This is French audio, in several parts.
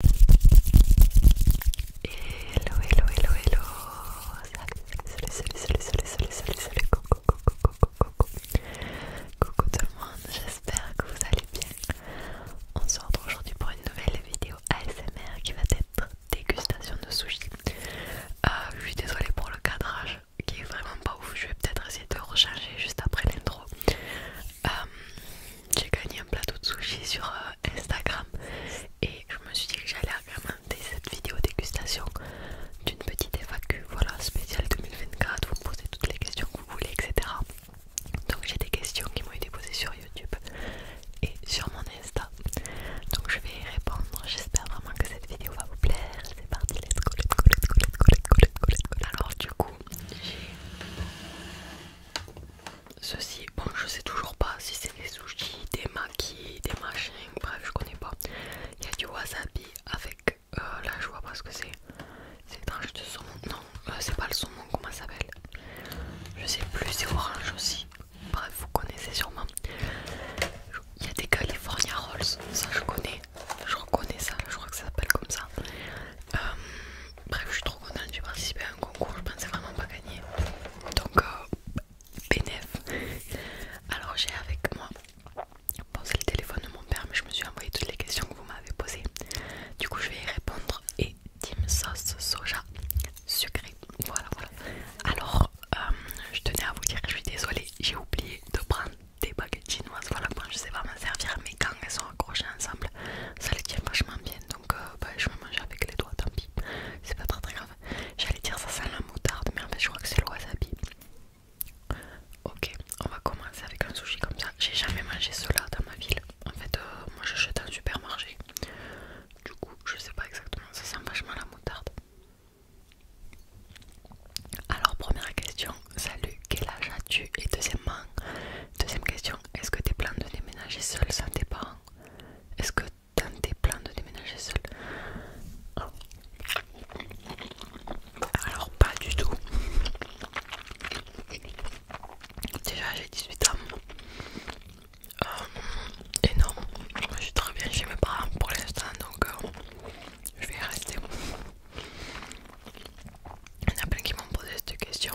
Hello, hello, hello, hello. Salut, salut, Coucou, tout le monde, j'espère que vous allez bien. On se retrouve aujourd'hui pour une nouvelle vidéo ASMR qui va être dégustation de sushi. Euh, je suis désolée pour le cadrage qui est vraiment pas ouf. Je vais peut-être essayer de recharger juste après l'intro. Euh, j'ai gagné un plateau de sushi sur euh, Instagram et je me suis dit que j'allais agrémenter cette vidéo dégustation d'une petite FAQ voilà spéciale 2024 vous me posez toutes les questions que vous voulez etc donc j'ai des questions qui m'ont été posées sur YouTube et sur mon Insta donc je vais y répondre j'espère vraiment que cette vidéo va vous plaire c'est parti let's go let's go let's go let's go let's go let's go, let's go. alors du coup j'ai Ceci, bon, je sais toujours pas si c'est des sushis, des maquis, des machins, bref, je connais pas. Il y a du wasabi avec euh, là, je vois pas ce que c'est. C'est tranche de saumon, non, euh, c'est pas le saumon, comment ça s'appelle Je sais plus, c'est orange aussi. Bref, vous connaissez sûrement. Il y a des California Rolls, ça je connais, je reconnais ça, je crois que ça s'appelle comme ça. Euh, bref, je suis trop contente, j'ai participé à un concours, je pensais vraiment pas gagner. Donc, euh, bénef Alors, j'ai avec moi, bon, c'est le téléphone de mon père, mais je me suis envoyé toutes les questions que vous m'avez posées. Du coup, je vais y répondre. Et team sauce soja sucré, Voilà, voilà. Alors, euh, je tenais à vous dire que je suis désolée, j'ai oublié de prendre des baguettes chinoises. Voilà, je sais pas m'en servir, mais quand elles sont accrochées ensemble, ça les tient vachement bien donc euh, bah, je vais manger avec les doigts, tant pis, c'est pas très très grave. J'allais dire ça sent la moutarde, mais en fait je crois que c'est le wasabi. Ok, on va commencer avec un sushi comme ça. J'ai jamais mangé cela dans ma ville. En fait, euh, je suis dans un supermarché. Du coup, je sais pas exactement, ça sent vachement la moutarde. Alors, première question, salut, quel âge as-tu Et deuxièmement, deuxième question, est-ce que tes plans de déménager seul sans tes parents est-ce que t'as des plans de déménager seul Alors pas du tout. Déjà j'ai 18 ans. et euh, non, je suis très bien chez mes parents pour l'instant donc euh, je vais y rester. Il y en a plein qui m'ont posé cette question.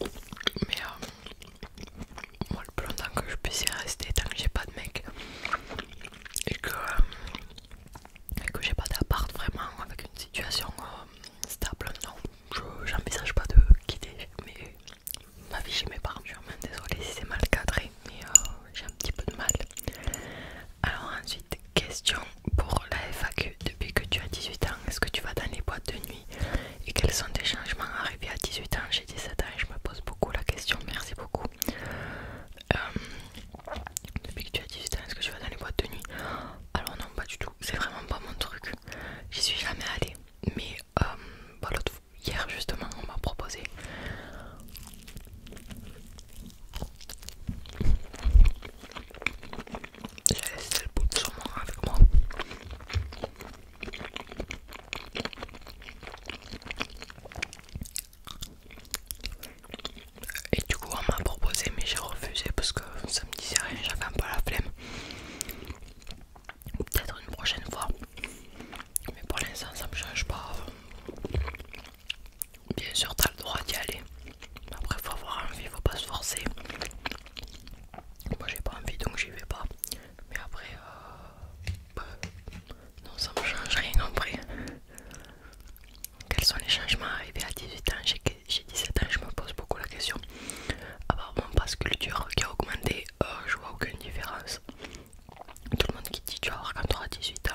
Mais euh, moi le plus longtemps que je puisse y rester tant que j'ai pas de mec et que, euh, que j'ai pas d'appart vraiment avec une situation euh, stable non j'envisage pas de quitter mais ma vie j'y mes je suis vraiment désolée si c'est mal cadré mais euh, j'ai un petit peu de mal alors ensuite question pour la FAQ depuis que tu as 18 ans est-ce que tu vas dans les boîtes de nuit et quels sont tes changements arrivés à 18 ans J'ai 17 ans et je me pose beaucoup la question, merci beaucoup. Euh, depuis que tu as 18 ans, est-ce que tu vas dans les boîtes de nuit Alors non, pas du tout, c'est vraiment pas mon truc. J'y suis jamais allée, mais euh, bah, hier justement, on m'a proposé j'ai laissé le bout de saumon avec moi. Et du coup, on m'a proposé, mais j'ai refusé parce que ça me disait rien, j'avais un peu la flemme. Peut-être une prochaine fois, mais pour l'instant, ça me change pas. Bien sûr, t'as le droit d'y aller. Après, faut avoir envie, faut pas se forcer moi j'ai pas envie donc j'y vais pas mais après euh, bah, non ça me change rien en vrai quels sont les changements arrivés à 18 ans j'ai 17 ans je me pose beaucoup la question à mon passe culture qui a augmenté euh, je vois aucune différence tout le monde qui dit tu vas voir quand tu auras 18 ans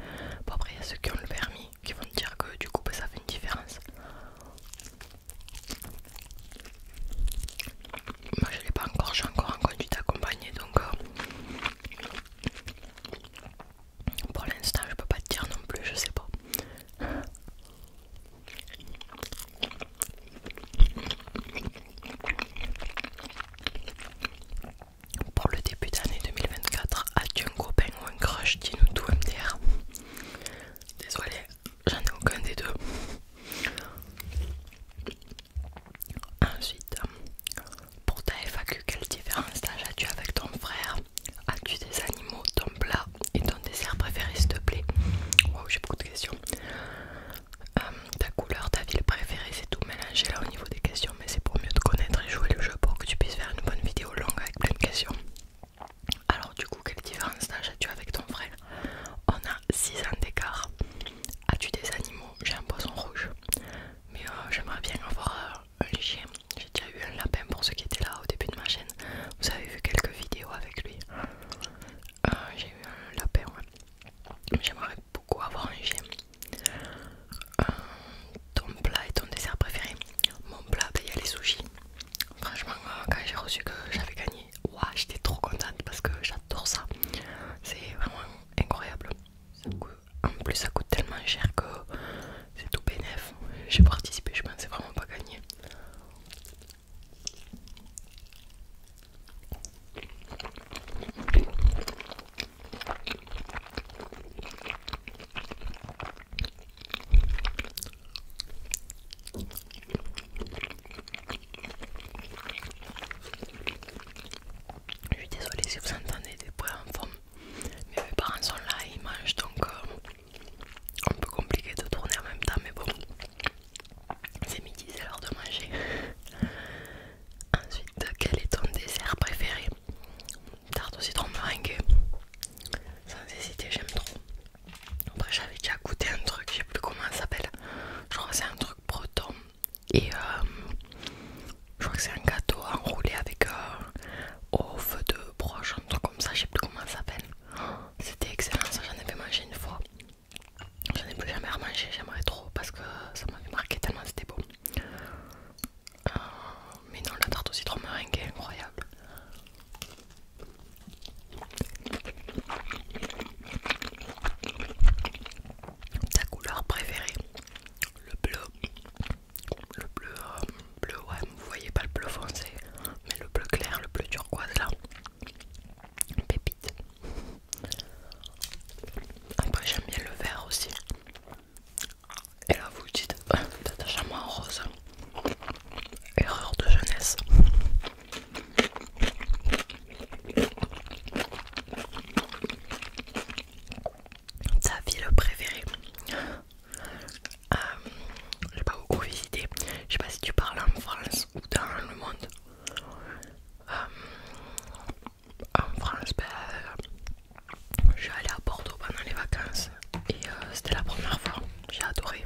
euh, après il y a ceux qui ont le permis qui vont te dire que du coup bah, ça fait une différence moi je l'ai pas encore, j'ai encore un conduite donc euh, pour l'instant je peux pas te dire non plus, je sais pas. Pour le début d'année 2024, as-tu un copain ou un crush Dis-nous tout MDR. Désolé, j'en ai aucun des deux. Ensuite, pour ta FAQ, quelle différence as-tu avec ton frère As-tu des animaux, ton plat et ton dessert préféré s'il te plaît Wow, j'ai beaucoup de questions. Hum, ta couleur, ta ville préférée, c'est tout mélangé là au niveau des questions, mais c'est pour mieux te connaître et jouer le jeu pour que tu puisses faire une bonne vidéo longue avec plein de questions. Alors du coup quelle différence d'âge as-tu avec ton frère On a 6 ans d'écart. As-tu des animaux J'ai un poisson rouge. Mais euh, j'aimerais bien avoir euh, un chien. J'ai déjà eu un lapin pour ceux qui étaient là au début de ma chaîne. Vous avez vu quelques vidéos avec lui. Euh, j'ai eu un lapin, J'aimerais beaucoup avoir un chien. ton plat et ton dessert préféré Mon plat, bah, il y a les sushis. Franchement, quand j'ai reçu que j'avais gagné j'étais trop contente parce que j'adore ça. C'est vraiment incroyable. En plus, ça coûte tellement cher que c'est tout bénéf. J'ai participé, je pensais vraiment pas gagner. Je suis désolée si vous entendez des bruits en forme, mais mes parents sont là et ils mangent donc euh, un peu compliqué de tourner en même temps, mais bon, c'est midi, c'est l'heure de manger. Ensuite, quel est ton dessert préféré Tarte au citron meringue. Sans hésiter, j'aime trop. Après j'avais déjà goûté un truc, je sais plus comment ça s'appelle. Je crois que c'est un truc breton. Et euh, je crois que c'est un gâteau enroulé avec euh, au feu de broche, un truc comme ça, je sais plus comment ça s'appelle. Oh, c'était excellent, ça j'en avais mangé une fois. J'en ai plus jamais remangé, j'aimerais trop parce que ça m'avait marqué tellement c'était beau. mais non, la tarte au citron meringue est incroyable. Ta couleur préférée Le bleu. Le bleu, euh, bleu, ouais, vous voyez pas le bleu foncé, mais le bleu clair, le bleu turquoise là. Pépite. Après j'aime bien le vert aussi. Et là vous dites, euh, moi en rose. Erreur de jeunesse. Ta ville préférée euh, J'ai pas beaucoup visité. Je sais pas si tu parles en France ou dans le monde. Euh, en France, ben, je suis allée à Bordeaux pendant les vacances et euh, c'était la première fois. J'ai adoré.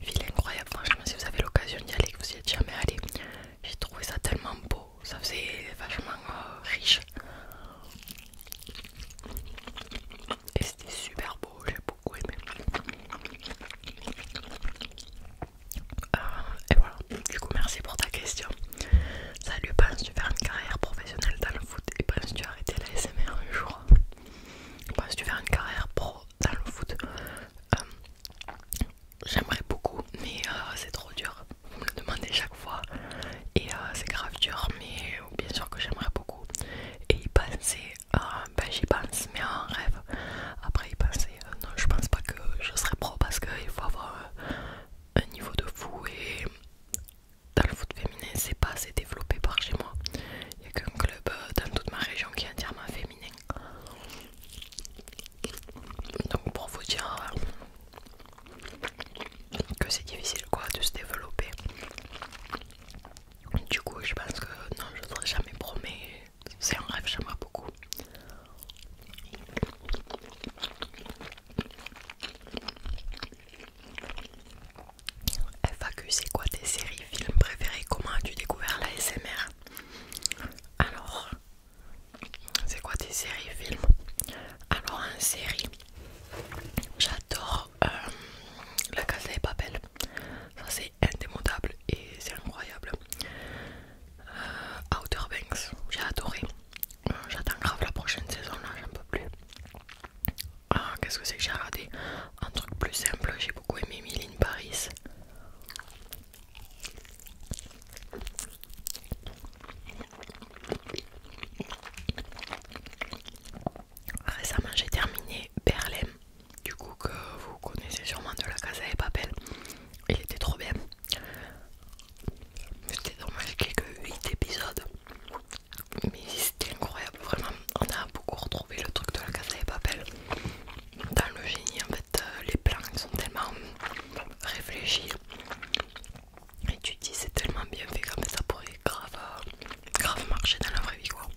Ville incroyable, franchement, si vous avez l'occasion d'y aller, que vous y êtes jamais allé, j'ai trouvé ça tellement beau, ça faisait vachement euh, riche. Et c'était super beau, j'ai beaucoup aimé. Euh, et voilà, du coup, merci pour ta question. Salut, penses-tu faire une carrière professionnelle dans le foot et penses-tu arrêter la SMR un jour Penses-tu faire une carrière pro dans le foot. Euh, j'aimerais beaucoup, mais euh, c'est trop dur. Vous me le demandez chaque fois. Et euh, c'est grave dur, mais bien sûr que j'aimerais beaucoup. Et y penser, ben j'y pense, mais en rêve. Après y penser, non, je pense pas que je serais pro parce qu'il faut avoir un niveau de fou. Et dans le foot féminin, c'est pas assez développé par chez moi. Il n'y a qu'un club dans toute ma région qui est entièrement féminin. Donc pour vous dire euh, que c'est difficile quoi de se développer. Du coup je pense que non je ne t'aurais jamais promis c'est un rêve j'aimerais beaucoup. FAQ c'est quoi tes séries, films préférés Comment as-tu découvert la SMR alors, c'est quoi tes séries films Alors, en série, j'adore euh, La Casa de Papel. Ça, c'est indémodable et c'est incroyable. Euh, Outer Banks, j'ai adoré. Euh, j'attends grave la prochaine saison, là, j'en peux plus. Ah, qu'est-ce que c'est que j'ai regardé Un truc plus simple, j'ai beaucoup aimé Millie Paris. Récemment, j'ai terminé Berlin, du coup que vous connaissez sûrement de la Casa et Papel. Il était trop bien. C'était dommage qu'il que 8 épisodes. Mais c'était incroyable, vraiment. On a beaucoup retrouvé le truc de la Casa et Papel dans le génie en fait euh, les plans sont tellement réfléchis et tu dis c'est tellement bien fait comme ça pourrait grave euh, grave marcher dans la vraie vie quoi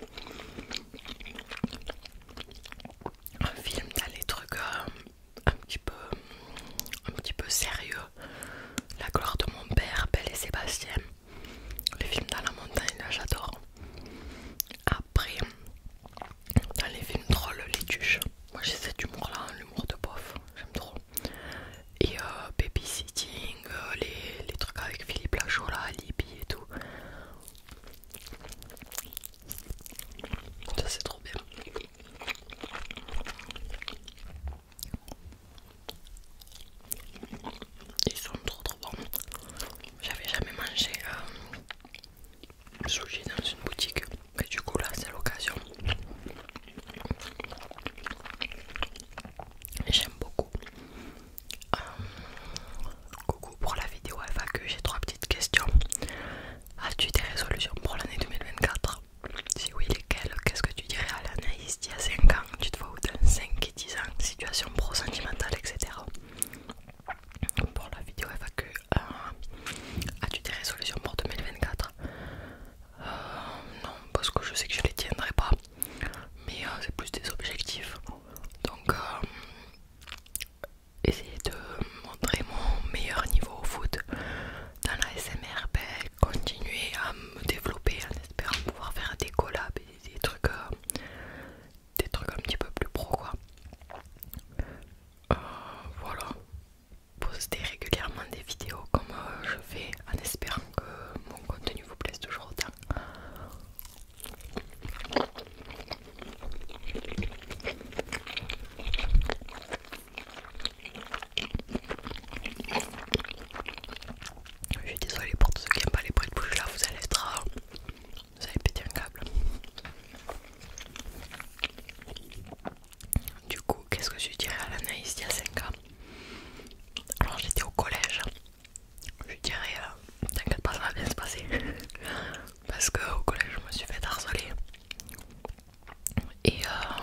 un film dans les trucs euh, un petit peu un petit peu sérieux la gloire de mon père Belle et Sébastien Le film dans la montagne j'adore après, dans les films drôles, les tuches, moi j'ai cet humour là, hein, l'humour de bof, j'aime trop. Et euh, baby-sitting, euh, les, trucs avec Philippe là, Libye et tout. Ça c'est trop bien. Ils sont trop trop bons. J'avais jamais mangé euh, suis dans une boutique et du coup là c'est l'occasion j'aime beaucoup euh, coucou pour la vidéo FAQ j'ai trois petites questions as-tu des résolutions pour l'année 2024 si oui lesquelles qu'est-ce que tu dirais à l'analyse d'il y a 5 ans tu te vois où dans 5 et 10 ans situation pro sentimentale etc pour la vidéo FAQ, euh, as-tu des résolutions pour 2024 euh, non parce que je sais que je les tiendrai pas mais euh, c'est plus des objectifs donc essayer de montrer mon meilleur niveau au foot dans la SMR ben, continuer à me développer en espérant pouvoir faire des collabs et des trucs des trucs un petit peu plus pro quoi. Euh, voilà, Postez régulièrement des vidéos comme euh, je fais en espérant que mon contenu vous plaise toujours autant. Je suis désolée pour tous ceux qui n'aiment pas les bruits de bouche là, vous allez être euh, vous avez pété un câble. Du coup, qu'est-ce que je dirais à l'analyse d'il y a Alors j'étais au collège, je dirais euh, t'inquiète pas, ça va bien se passer. Parce qu'au collège, je me suis fait harceler. Et euh,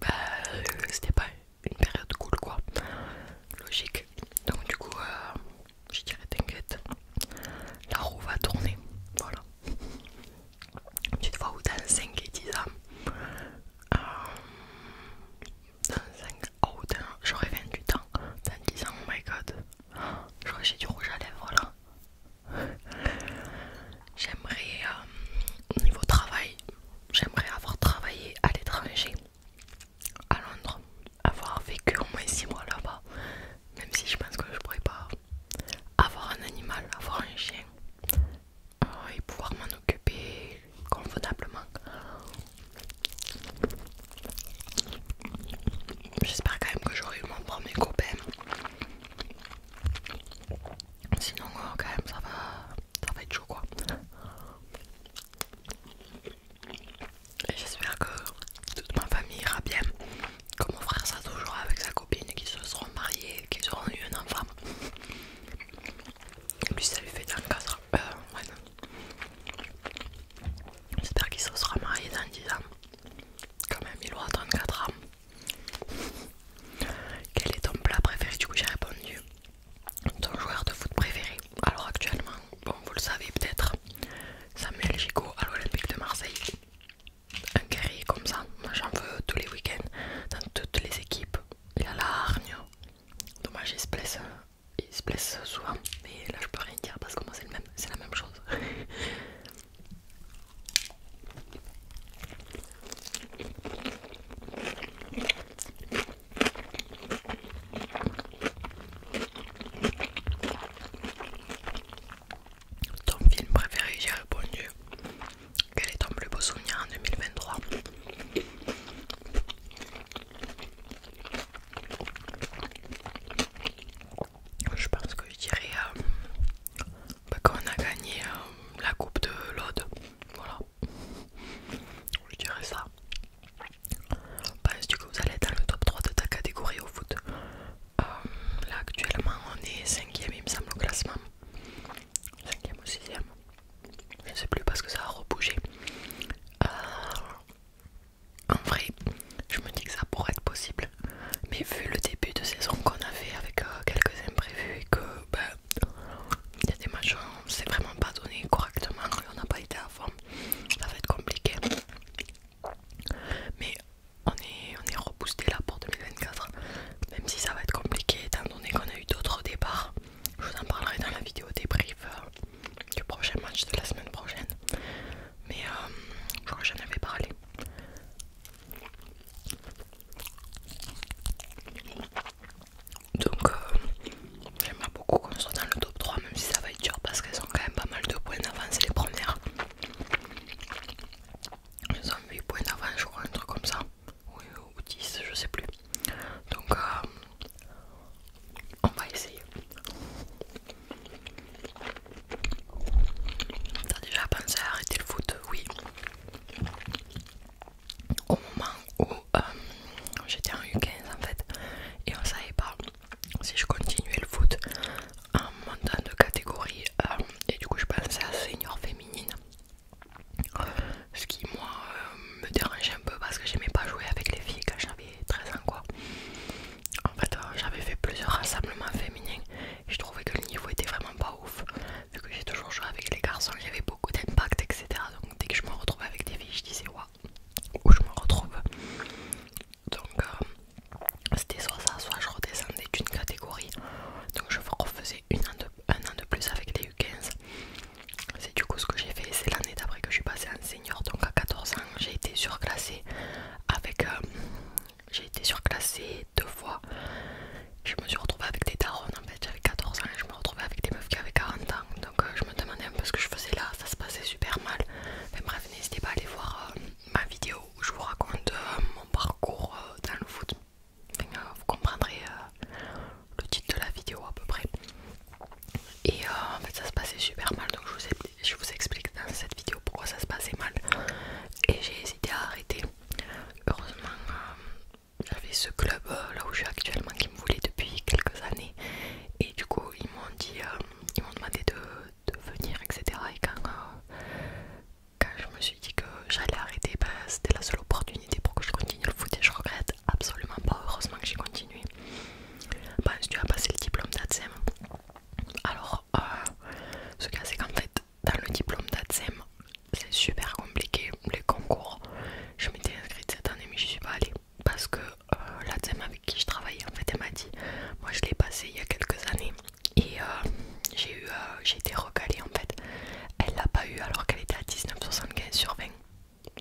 bah, c'était pas une période cool quoi. Logique. Donc du coup, euh, je dirais, t'inquiète, la roue va tourner. Voilà. Tu te vois où dans 5 et 10 euh, ans Dans 5 oh, j'aurais 28 ans. Dans 10 ans, oh my god. J'aurais j'ai du rouge à lèvres voilà. J'aimerais, euh, au niveau travail, j'aimerais avoir travaillé à l'étranger, à Londres, avoir vécu au moins 6 mois là-bas, même si je pense que je pourrais pas avoir un animal, avoir un chien euh, et pouvoir m'en occuper convenablement. J'espère quand même que j'aurai eu mon premier copain. Sinon euh, quand même ça va ça va être chaud quoi j'espère que toute ma famille ira bien. Que mon frère sera toujours avec sa copine, qu'ils se seront mariés, qu'ils auront eu un enfant. Et ça lui fait dans 4 ans. J'espère qu'il se sera marié dans 10 ans. Quand même, il aura 34 ans. Quel est ton plat préféré Du coup, j'ai répondu. Ton joueur de foot préféré Alors, actuellement, bon, vous le savez peut-être, Samuel Chico, à l'Olympique de Marseille. Un guerrier comme ça, moi j'en veux tous les week-ends, dans toutes les équipes. Il a la hargne. Dommage, il se blesse, il se blesse souvent, mais là je peux rien dire parce que moi c'est la même chose. Ton film préféré, j'ai répondu. Quel est ton plus beau souvenir en 2023 Je pense que je dirais qu'on euh, bah, quand on a gagné euh, la coupe de l'Aude. Voilà. Je dirais ça. Penses-tu que vous allez être dans le top 3 de ta catégorie au foot euh, là actuellement on est 5ème il me semble au classement. 5ème ou 6ème. Je sais plus parce que ça a rebougé. Euh, en vrai, je me dis que ça pourrait être possible. Mais vu le début de saison qu'on a fait avec euh, quelques imprévus et que ben, il y a des matchs où s'est vraiment pas donné correctement et on n'a pas été à fond ça va être compliqué. Mais on est, on est reboosté là pour 2024, même si ça va être compliqué étant donné qu'on a eu d'autres départs. Je vous en parlerai dans la vidéo débrief euh, du prochain match de la semaine prochaine. Mais euh, je crois que j'en avais parlé. Donc, euh, j'aimerais beaucoup qu'on soit dans le top 3, même si ça va être dur parce qu'elles ont quand même pas mal de points d'avance les premières. Ils ont 8 points d'avance ou un truc comme ça. ou 10, je sais plus. Donc, euh, on va essayer. T'as déjà pensé à arrêter le foot Oui. Au moment où euh, j'étais en U15 en fait, et on savait pas si je continuais le foot en montant de catégorie euh, et du coup je passais à senior féminine ce qui moi euh, me dérangeait un peu parce que j'aimais pas jouer avec les filles quand j'avais 13 ans quoi en fait euh, j'avais fait plusieurs rassemblements féminins et je trouvais que le niveau était vraiment pas ouf vu que j'ai toujours joué avec les garçons il y avait beaucoup d'impact etc donc dès que je me retrouvais avec des filles je disais waouh où je me retrouve donc euh, c'était soit ça, soit je redescendais d'une catégorie. Donc je refaisais une un an de plus avec les U15. C'est du coup ce que j'ai fait. C'est l'année d'après que je suis passée en senior. Donc à 14 ans, j'ai été surclassée avec... Euh, j'ai été surclassée deux fois. Je me suis retrouvée avec des darons en fait. J'avais 14 ans et je me retrouvais avec des meufs qui avaient 40 ans. Donc euh, je me demandais un peu ce que je faisais là. Ça se passait super mal. Mais bref, n'hésitez pas à aller voir ma vidéo où je vous raconte euh, mon parcours euh, dans le foot. Euh, vous comprendrez le titre de la vidéo à peu près. Et en fait, ça se passait super mal, donc je vous, explique dans cette vidéo pourquoi ça se passait mal. Et j'ai hésité à arrêter. Heureusement, j'avais ce club là où je suis actuellement qui me voulait depuis quelques années. Et du coup, ils m'ont dit, ils m'ont demandé de de venir, etc. Et quand, je me suis dit que j'allais arrêter, ben, c'était la seule opportunité pour que je continue le foot et je regrette absolument pas. Heureusement que j'ai continué. que ben, tu as passé le diplôme d'ADSEM. Alors, ce cas, c'est qu'en fait, dans le diplôme d'ADSEM, c'est super compliqué les concours. Je m'étais inscrite cette année, mais je suis pas allée parce que euh, la avec qui je travaillais, en fait, elle m'a dit Moi, je l'ai passé il y a quelques années, et euh, j'ai eu, euh, j'ai été recalée en fait. Elle l'a pas eu alors qu'elle était à 19,75 sur 20.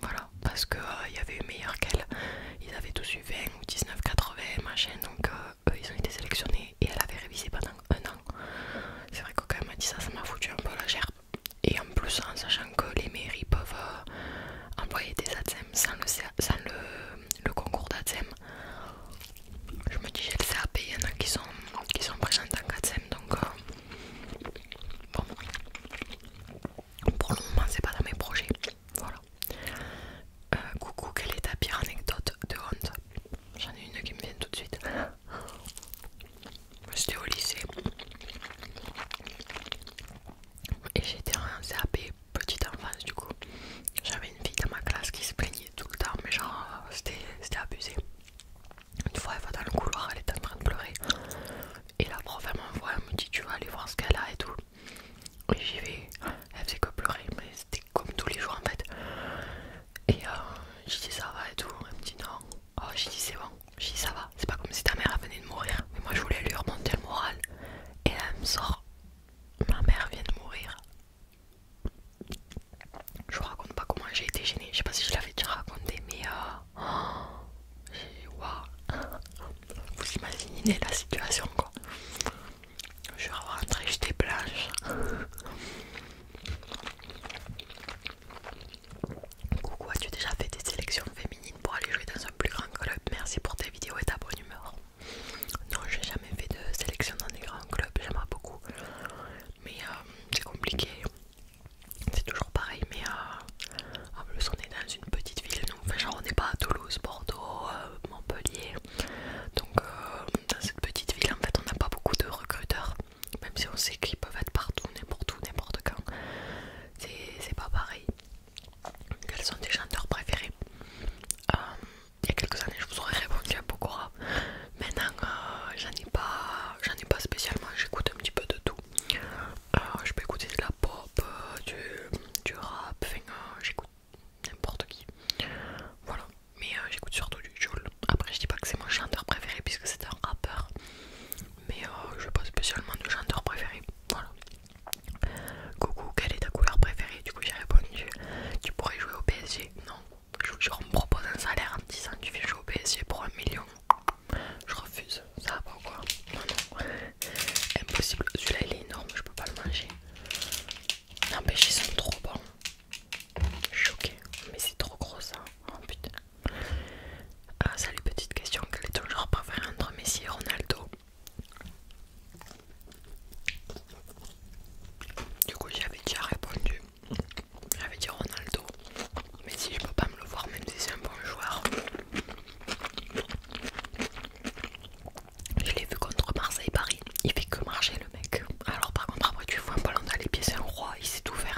Voilà, parce qu'il euh, y avait eu meilleur qu'elle. Ils avaient tous eu 20 ou 19,80 machin, donc eux ils ont été sélectionnés et elle avait révisé pendant un an. C'est vrai que quand elle m'a dit ça, ça m'a foutu un peu la gerbe. Et en plus, en sachant que les mairies peuvent envoyer des atsem sans le, concours d'ADSEM, je me dis j'ai le CAP, il y en a qui sont, qui sont présentes en 4ème donc euh, bon pour le moment c'est pas dans mes projets voilà euh, coucou quelle est ta pire anecdote de honte j'en ai une qui me vient tout de suite j'étais au lycée et j'étais en CAP petite enfance du coup j'avais une fille dans ma classe qui se plaignait tout le temps mais genre euh, c'était abusé une fois elle va dans le couloir elle était en train de pleurer et la prof elle m'envoie elle me dit tu vas aller voir ce qu'elle a et tout et j'y vais elle faisait que pleurer mais c'était comme tous les jours en fait et euh, j'ai dit ça va et tout elle me dit non oh j'ai dit c'est bon j'ai dit ça va c'est pas comme si ta mère venait de mourir mais moi je voulais lui remonter le moral et elle me sort ma mère vient de mourir je vous raconte pas comment j'ai été gênée. Je sais pas si je l'avais déjà raconté, mais euh... vous imaginez la situation quoi. Je rentrée j'étais blanche. Coucou, as-tu déjà fait des sélections féminines pour aller jouer dans un plus grand club Merci pour tes vidéos et ta bonne humeur. Non, j'ai jamais fait de sélection dans des grands clubs, j'aimerais beaucoup, mais euh, c'est compliqué. C'est toujours pareil, mais euh, en plus on est dans une petite ville, donc on n'est pas à Toulouse, Bordeaux, euh, Montpellier. Donc dans cette petite ville, en fait, on n'a pas beaucoup de recruteurs, même si on sait qu'ils peuvent être partout, n'importe où, n'importe quand. C'est pas pareil. Quels sont tes chanteurs préférés il y a quelques années je vous aurais répondu à Pokora maintenant je euh, j'en ai pas j'en ai pas spécialement j'écoute un petit peu de tout euh, je peux écouter de la pop euh, du, rap j'écoute n'importe qui voilà mais j'écoute surtout du Joule après je dis pas que c'est mon chanteur préféré puisque c'est un rappeur mais je je veux pas spécialement de chanteur préféré voilà coucou quelle est ta couleur préférée du coup j'ai répondu tu pourrais jouer au PSG non je, me propose un salaire en disant tu viens jouer au PSG pour un million je refuse ça va pas quoi non non impossible celui-là il est énorme je peux pas le manger n'empêche ils sont trop bons choqué mais c'est trop gros ça oh putain ah, salut petite question quel est ton genre préféré entre Messi et Ronaldo du coup j'avais déjà répondu, j'avais dit Ronaldo, mais si je peux pas me le voir même si c'est un bon joueur. Je l'ai vu contre Marseille-Paris, il fait que marcher le mec. Alors par contre après tu vois un ballon dans les pieds, c'est un roi, il s'est tout euh,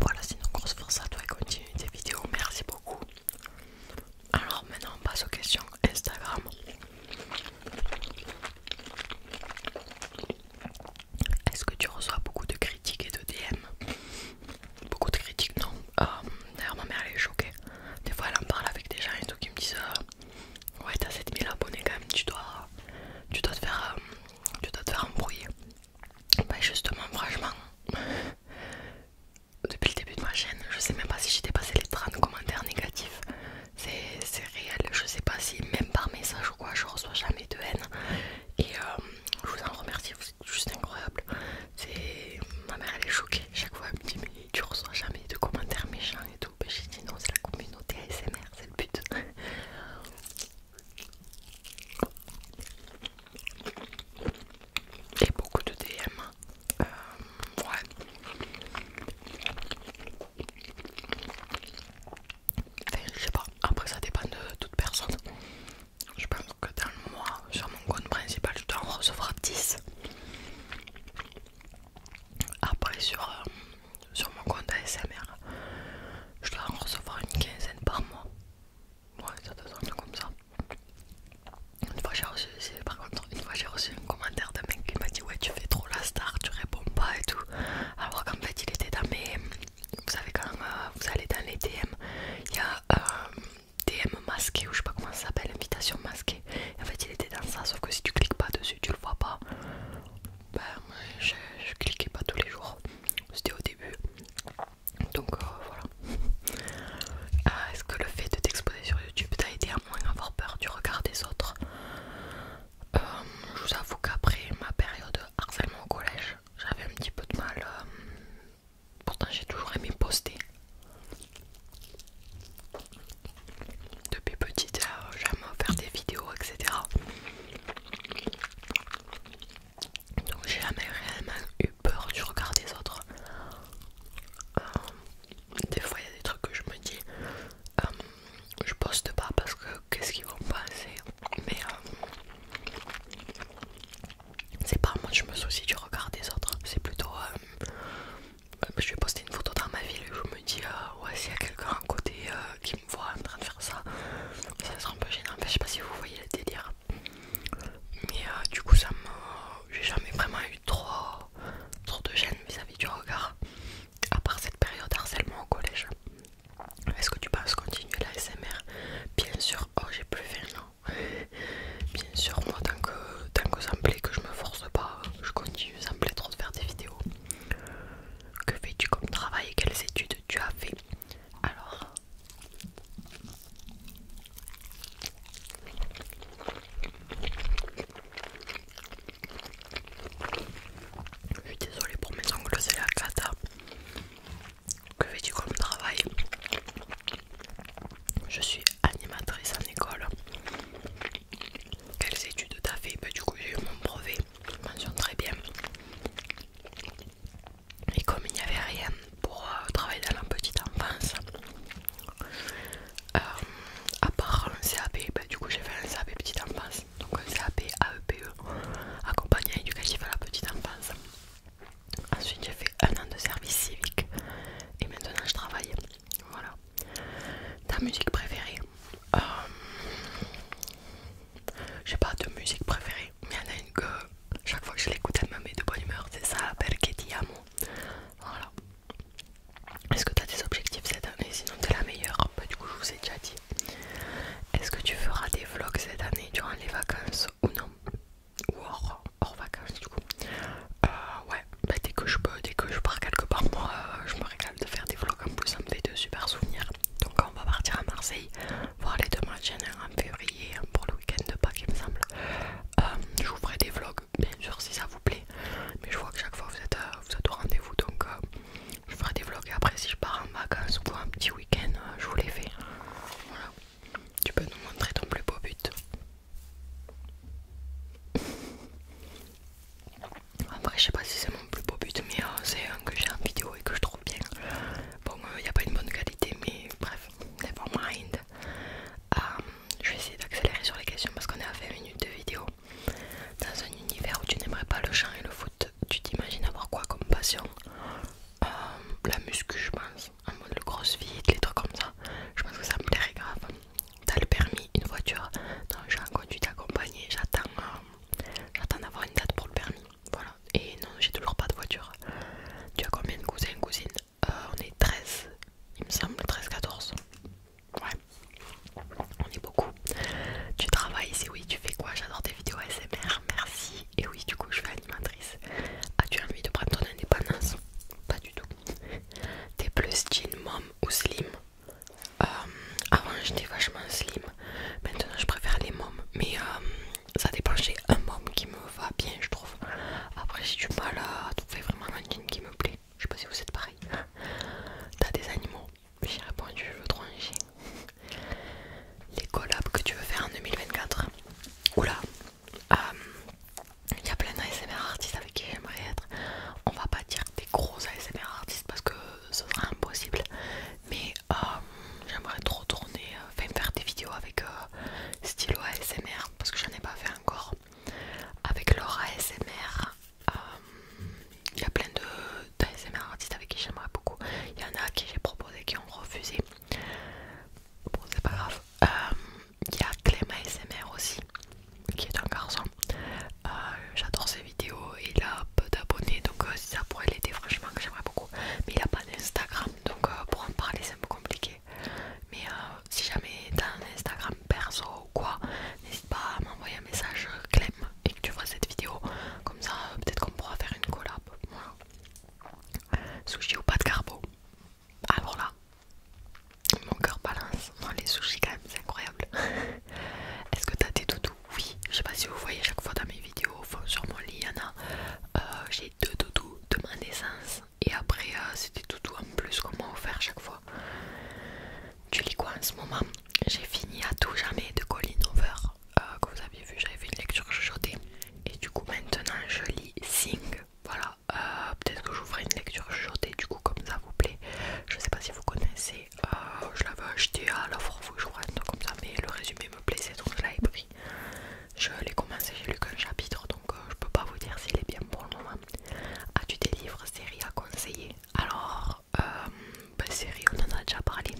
voilà, sinon grosse force à toi et continue tes vidéos. Merci beaucoup. Alors maintenant on passe aux questions Instagram. Est-ce que tu reçois beaucoup de critiques et de DM Beaucoup de critiques, non. Euh, d'ailleurs ma mère elle est choquée. Des fois elle en parle avec des gens et tout qui me disent euh, ouais t'as 7000 abonnés quand même, tu dois, tu dois te faire, euh, tu dois te faire embrouiller. Ben justement franchement depuis le début de ma chaîne, je sais même pas si j'ai dépassé les 30 commentaires négatifs. C'est réel, je sais pas si même par message ou quoi, je reçois jamais de haine. Et euh, je vous en remercie, vous êtes juste incroyable. Ma mère elle est choquée, chaque fois elle me dit mais tu reçois jamais de commentaires méchants et tout. Mais j'ai dit non, c'est la communauté ASMR, c'est le but et beaucoup de DM. Euh, ouais. je sais pas, après ça dépend de toute personne. Je pense que dans le mois, sur mon compte principal, je dois en recevoir 10. Après, sur, euh, sur mon compte ASMR, je dois en recevoir une quinzaine par mois. Ouais, ça te semble comme ça. Une fois j'ai reçu, par contre, une fois j'ai reçu un commentaire d'un mec qui m'a dit ouais tu fais trop la star, tu réponds pas et tout. Alors qu'en fait il était dans mes, vous savez quand euh, vous allez dans les DM, il y a un euh, DM masqué ou je sais pas comment ça s'appelle, invitation masquée. en fait il était dans ça, sauf que si tu cliques pas dessus, tu le vois pas. Ben je, je cliquais pas tous les jours, c'était au début. Donc euh, voilà. Ah, est-ce que le fait de t'exposer sur YouTube t'a aidé à moins avoir peur du regard des autres euh, Je vous avoue qu'après ma période de harcèlement au collège, j'avais un petit peu de mal. Euh, pourtant j'ai toujours aimé poster. Depuis petite, j'aime faire des vidéos, etc. Donc j'ai jamais réellement eu peur du regard des autres. Euh, des fois il y a des trucs que je me dis, euh, je poste pas parce que qu'est-ce qu'ils vont penser. Mais euh, c'est pas moi que je me soucie du regard des autres, c'est plutôt... je vais poster une photo dans ma ville et je me dis ouais s'il y a quelqu'un à côté qui me voit en train de faire ça ça sera un peu gênant, je sais pas si vous voyez le délire mais euh, du coup, J'ai jamais vraiment eu trop, de gêne vis-à-vis du regard, à part cette période harcèlement au collège. Est-ce que tu penses continuer la SMR Bien sûr, oh j'ai plus fait, non Bien sûr, moi tant que, tant que ça me plaît, que je me force pas, je continue, ça me plaît trop de faire des vidéos. Que fais-tu comme travail et quelles études tu as fait Alors, je suis désolée pour mes ongles, c'est la Que fais-tu comme travail Je suis animatrice en école. Quelles études t'as fait bah, Du coup, j'ai eu mon brevet, je mentionne très bien. Et comme il n'y avait rien pour euh, travailler dans la petite enfance, euh, à part un CAP, bah, du coup j'ai fait un CAP petite enfance, donc un CAP AEPE, accompagnement éducatif à la petite enfance. Ensuite j'ai fait un an de service civique et maintenant je travaille. Voilà. Ta musique préférée euh, J'ai pas de musique préférée, mais il y en a une que chaque fois que je l'écoute, elle me met de bonne humeur. C'est ça, la ti Voilà. Est-ce que tu as des objectifs cette année Sinon, t'es la meilleure. Bah, du coup, je vous ai déjà dit. Est-ce que tu feras des vlogs cette année durant les vacances ou non Ou hors, vacances, du coup euh, Ouais, bah, dès que je peux, dès que je pars quelque part, moi, euh, je me régale de faire des vlogs. En plus, ça me fait de super souvenirs. Donc, on va partir à Marseille, voir les deux machines en février pour le week-end de Pâques, il me semble. Euh, je vous ferai des vlogs, bien sûr, si ça vous plaît. Mais je vois que chaque fois vous êtes, euh, au rendez-vous, donc euh, je ferai des vlogs. Et après, si je pars en vacances ou un petit week-end, je vous les fais. Voilà. Tu peux nous montrer ton plus beau but. Après je sais pas si c'est mon plus beau but, mais c'est un que j'ai en vidéo et que je trouve bien. Bon, il n'y a pas une bonne qualité, mais bref, never mind. Euh, je vais essayer d'accélérer sur les questions parce qu'on est à 20 minutes de vidéo. Dans un univers où tu n'aimerais pas le chant et le foot, tu t'imagines avoir quoi comme passion euh, La muscu, je pense. En mode le crossfit, les trucs comme ça. Je pense que ça me plairait grave. T'as le permis, une voiture. Non, j'ai un conduite accompagné. J'attends d'avoir une date pour le permis. Voilà. Et non, j'ai toujours pas de voiture. Tu as combien de cousins, et cousines euh, on est 13, il me semble, 13-14. Ouais, on est beaucoup. Tu travailles Si oui, tu fais quoi J'adore tes vidéos ASMR, merci. Et oui, du coup, je fais animatrice. As-tu envie de prendre ton indépendance Pas du tout. T'es plus jean, mom ou slim euh, Avant, j'étais vachement slim. Maintenant, je préfère les moms. Mais euh, ça dépend, j'ai un môme qui me va bien, je trouve. Après, j'ai du mal tu fais vraiment un qui me plaît. Je sais pas si vous êtes pareil. T'as des animaux J'ai répondu, je veux trop un Les collabs que tu veux faire en 2024 Oula là euh, il y a plein d'ASMR artistes avec qui j'aimerais être. On va pas dire des gros ASMR artistes parce que ce sera impossible. Mais euh, j'aimerais trop tourner euh, faire des vidéos avec euh, stylo ASMR parce que j'en ai pas fait encore avec leur ASMR il y a plein de d'ASMR artistes avec qui j'aimerais beaucoup il y en a qui j'ai proposé qui ont refusé bon c'est pas grave euh, il y a Clem ASMR aussi qui est un garçon euh, j'adore ses vidéos il a peu d'abonnés donc ça pourrait l'aider franchement que j'aimerais beaucoup mais il a pas d'Instagram donc pour en parler c'est un peu compliqué mais euh, si jamais t'as un Instagram perso ou quoi, n'hésite pas à m'envoyer un message Clem et que tu vois cette vidéo. Comme ça, euh, peut-être qu'on pourra faire une collab. Sushi ou pas de carbo Alors ah, là, mon cœur balance. les sushis, quand même, c'est incroyable. Est-ce que t'as des doudous Oui, je sais pas si vous voyez chaque fois dans mes vidéos, sur mon lit, il y en a. Euh, j'ai deux doudous de ma naissance et après euh, c'était tout doux en plus qu'on m'a offert chaque fois tu lis quoi en ce moment j'ai fini à tout jamais de Colin Over euh, que vous aviez vu j'avais fait une lecture chuchotée et du coup maintenant je lis Sing voilà euh, peut-être que je vous ferai une lecture chuchotée du coup comme ça vous plaît je sais pas si vous connaissez je l'avais acheté à la vous je comme ça mais le résumé me plaisait donc je l'avais pris je l'ai commencé, j'ai lu qu'un chapitre donc euh, je peux pas vous dire s'il est bien pour le moment. As-tu des livres série à conseiller Alors, euh, ben, série, on en a déjà parlé.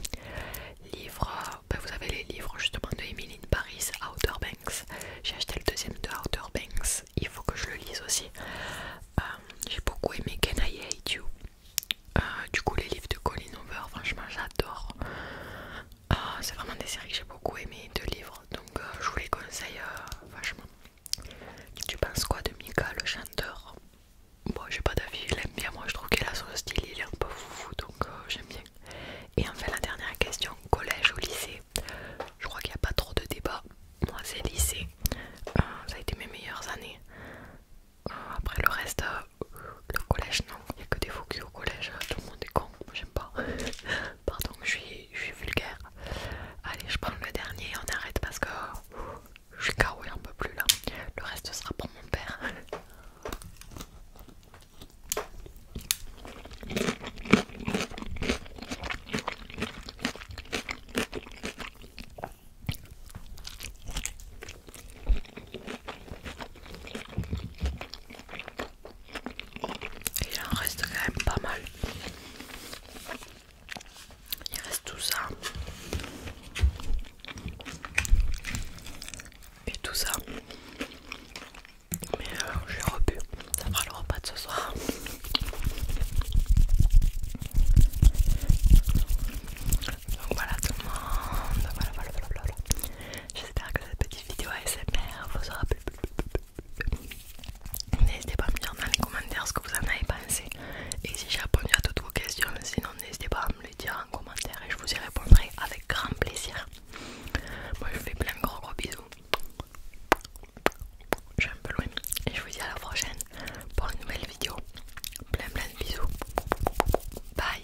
Livres, ben, vous avez les livres justement de Emily in Paris, Outer Banks. J'ai acheté le deuxième de Outer Banks, il faut que je le lise aussi. Euh, j'ai beaucoup aimé Can I Hate You. du coup, les livres de Colin Hoover, franchement, j'adore. Ah, c'est vraiment des séries que j'ai beaucoup aimées, deux livres, donc euh, je vous les conseille euh, vachement. Tu penses quoi de Mika le chanteur Bon, j'ai pas d'avis, il aime bien, moi je trouve qu'elle a son style, il est un peu foufou, donc euh, j'aime bien. Et enfin, la dernière question collège ou lycée Je crois qu'il n'y a pas trop de débat. Moi, c'est lycée, ça a été mes meilleures années. après, le reste, le collège, non, il n'y a que des faux au collège, tout le monde est con, j'aime pas. Pardon, je suis, vulgaire. Allez, je prends le dernier et on arrête parce que je suis carré un peu plus là. Le reste sera pour mon père. Il en reste quand même pas mal. Il reste tout ça. Et tout ça. Mais euh, j'ai repu. Ça fera le repas de ce soir. Donc voilà tout le monde. Voilà, voilà, J'espère que cette petite vidéo ASMR vous aura plu. N'hésitez pas à me dire dans les commentaires ce que vous en avez pensé. Et si j'ai répondu à toutes vos questions, sinon n'hésitez pas à me le dire en commentaire et je vous y répondrai avec grand plaisir. Moi je vous fais plein de gros gros bisous. Je suis un peu loin. Et je vous dis à la prochaine pour une nouvelle vidéo. Plein plein de bisous. Bye.